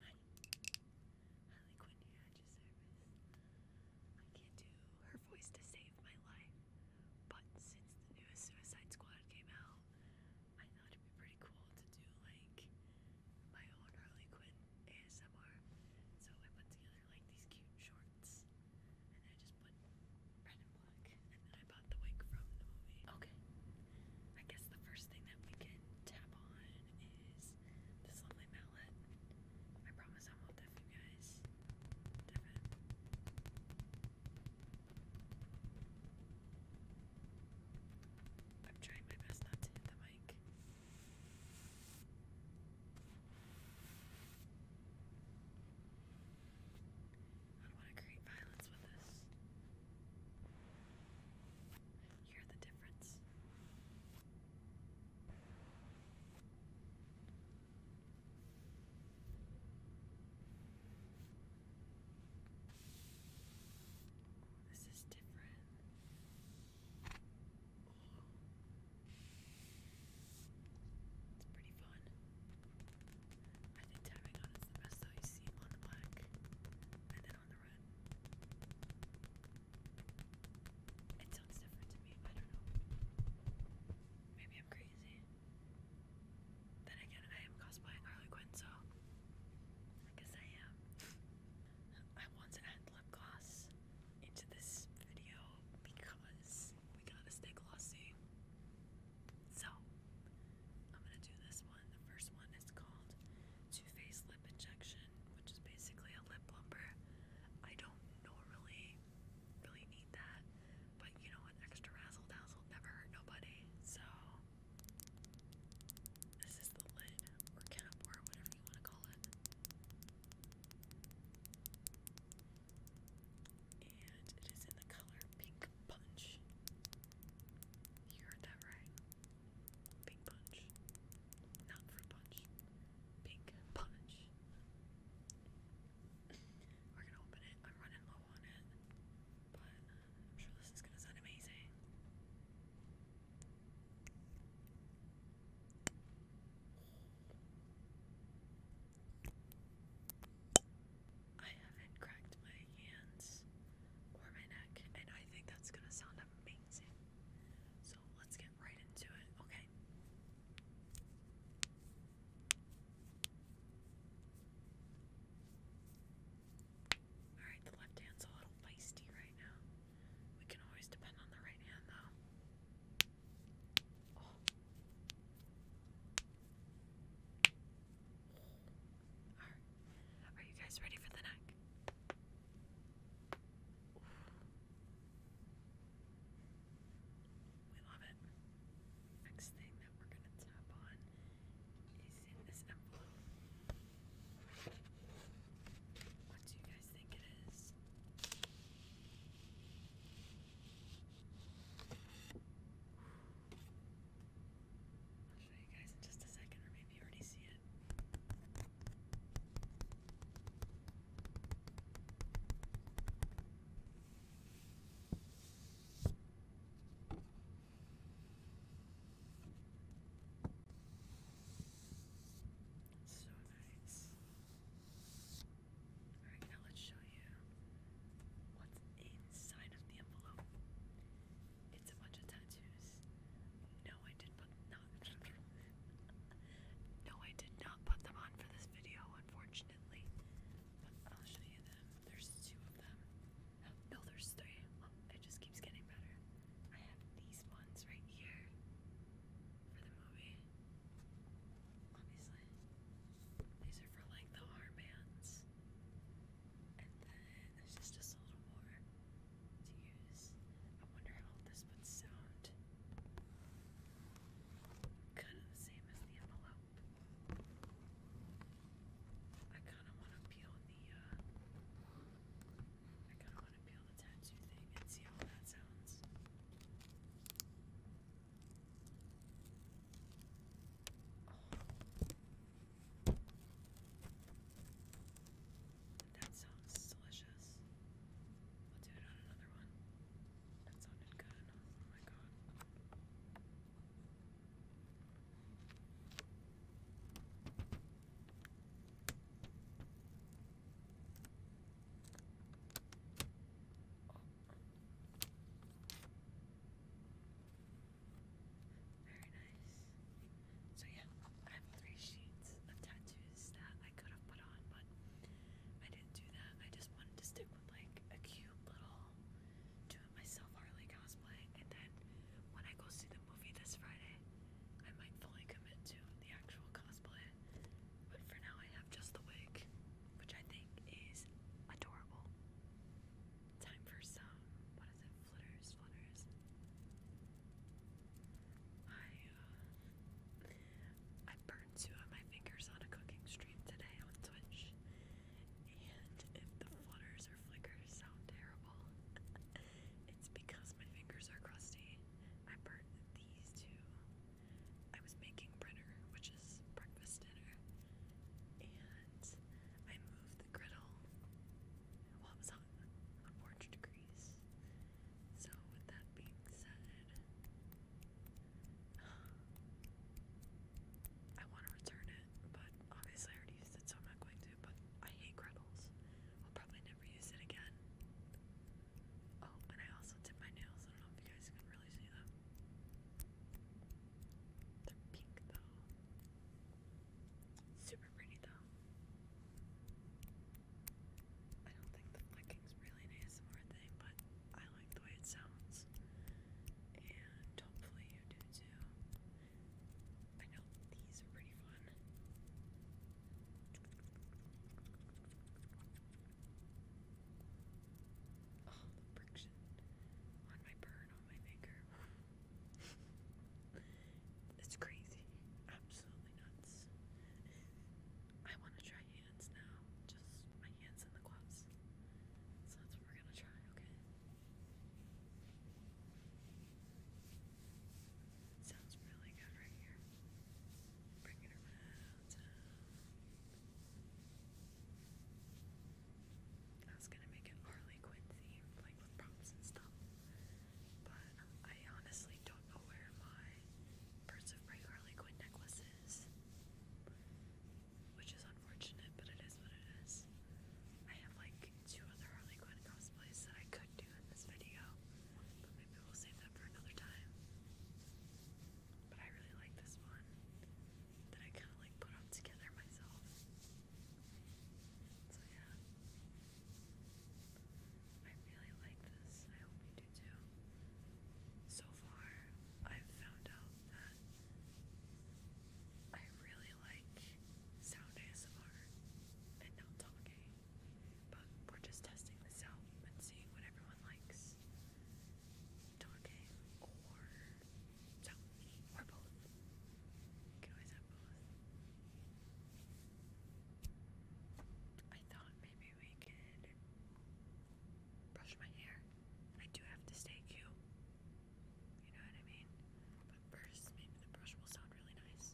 Hi. Harley Quinn here at service. I can't do her voice to save my life, but since the newest Suicide Squad came out, I thought it'd be pretty cool to do like my own Harley Quinn ASMR. So I put together like these cute shorts, and I just put red and black, and then I bought the wig from the movie. Okay, I guess the first thing that we can tap on is this lovely mallet. I promise I won't deaf you guys. I'm trying my best not to the mic. I don't want to create violence with this hear the difference? this is different. It's pretty fun. I think tapping on the best though you see on the black and then on the run. It sounds different to me. I don't know. Maybe I'm crazy. Then again, I am cosplaying Harley Quinn, so I guess I am. I want to add lip gloss into this video because we gotta stay glossy. So, I'm going to do this one. The first one is called Two Face Lip Injection, which is basically a lip plumper. I don't normally really need that, but you know what? Extra razzle dazzle never hurt nobody. So, this is the lid or cap or whatever you want to call it. And it is in the color pink Punch. You heard that right. Big Punch. Not fruit punch. Big Punch. We're gonna open it. I'm running low on it. But I'm sure this is gonna sound amazing. I haven't cracked my hands or my neck, and I think that's gonna sound amazing. So let's get right into it, okay? Alright, the left hand's a little feisty right now. We can always depend on the right hand though. Oh. Are, you guys ready for the neck? We love it. Next thing that we're going to tap on is in this envelope. What do you guys think it is? I'll show you guys in just a second, or maybe you already see it. So nice. Alright, now let's show you what's inside of the envelope. It's a bunch of tattoos. No, I did not. no, I did not put them on for this video, unfortunately. But I'll show you them. There's two of them. No, there's three. it just keeps getting better. I have these ones right here for the movie obviously. These are for like the armbands. And then there's just a little more to use. I wonder how this would sound. Kind of the same as the envelope. I kind of want to peel the, uh, I kind of want to peel the tattoo thing and see how that sounds. That sounds delicious. We'll do it on another one. That sounded good. Oh my god. Very nice. So, yeah, I have three sheets of tattoos that I could have put on, but I didn't do that. I just wanted to stick with like a cute little do myself Harley cosplay, and then when I go see the movie this Friday, I might fully commit to the actual cosplay. But for now, I have just the wig, which I think is adorable. Time for some, what is it, flitters, flitters. I, uh, I burned two of my fingers on a cooking stream today on Twitch, and if the flutters or flickers sound terrible, it's because my fingers are crusty. I burnt these two I was making brenner, which is breakfast dinner, and I moved the griddle. Well, it was on, on degrees. So, with that being said, I want to return it, but obviously I already used it, so I'm not going to. But I hate griddles. I'll probably never use it again. Oh, and I also did my nails. I don't know if you guys can really see them. They're pink though. Super pretty though. I don't think the flicking's really an ASMR thing, but I like the way it sounds. And hopefully you do too. I know these are pretty fun. Oh, the friction on my burn on my finger. it's crazy. Absolutely nuts. I want to try hands now. Just my hands in the gloves. So that's we're going to try, okay? Sounds really good right here. Bring it around. I was gonna make it Harley Quinn themed, like with props and stuff. But I honestly don't know where my Birds of Prey Harley Quinn necklace is. Which is unfortunate, but it is what it is. I have like two other Harley Quinn cosplays that I could do in this video. But maybe we'll save that for another time. But I really like this one that I kind of like put up together myself. So yeah. I really like this. I hope you do too. So far, I've found out that I really like sound ASMR and not talking. But we're just testing this out and seeing what everyone likes. Talking or so or both. can always have both. I thought maybe we could brush my hair. I do have to stay cute. You know what I mean? But first maybe the brush will sound really nice.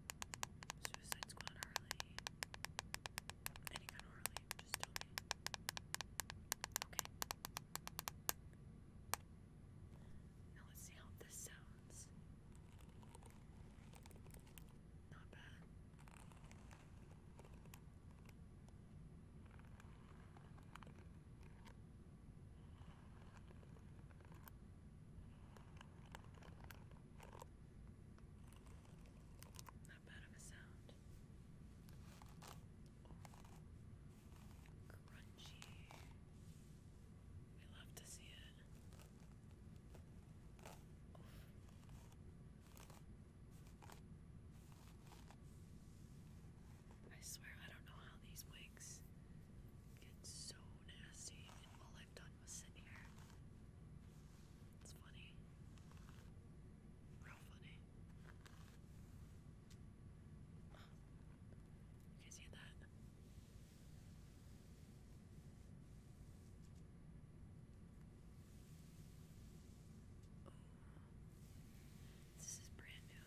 Suicide Squad Harley. Any kind of Harley, just tell me. Okay. Now let's see how this sounds. Not bad. Not bad of a sound. Crunchy. We love to see it. I swear I don't know how these wigs get so nasty, and all I've done was sit here. It's funny. Real funny. You guys hear that? Oh, this is brand new.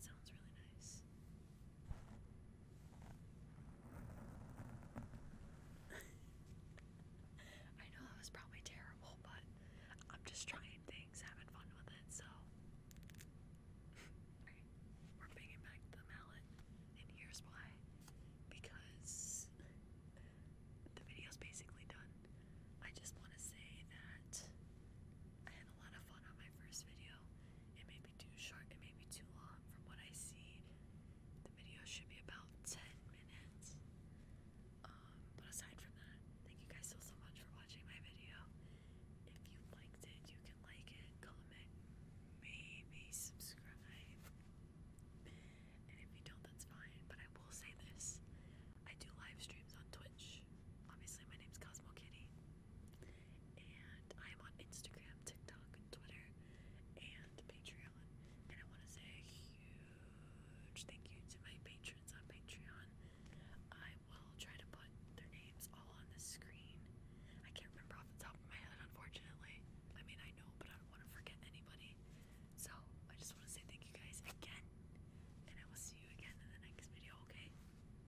So it sounds really nice. I know that was probably terrible, but I'm just trying things, having fun with it, so. we're bringing back the mallet, and here's why. Because the video's basically done. I just want to say that I had a lot of fun on my first video. It may be too short, it may be too long. From what I see, the video should be about 10 minutes. Um, but aside from that, thank you guys so, so much for watching my video. If you liked it, you can like it, comment, maybe subscribe. And if you don't, that's fine. But I will say this I do live streams on Twitch. Obviously, my name is Cosmo Kitty. And I am on Instagram, TikTok, Twitter, and Patreon. And I want to say a huge thank you to my patrons on Patreon. I will try to put their names all on the screen. I can't remember off the top of my head, unfortunately. I mean, I know, but I don't want to forget anybody. So I just want to say thank you guys again. And I will see you again in the next video, okay?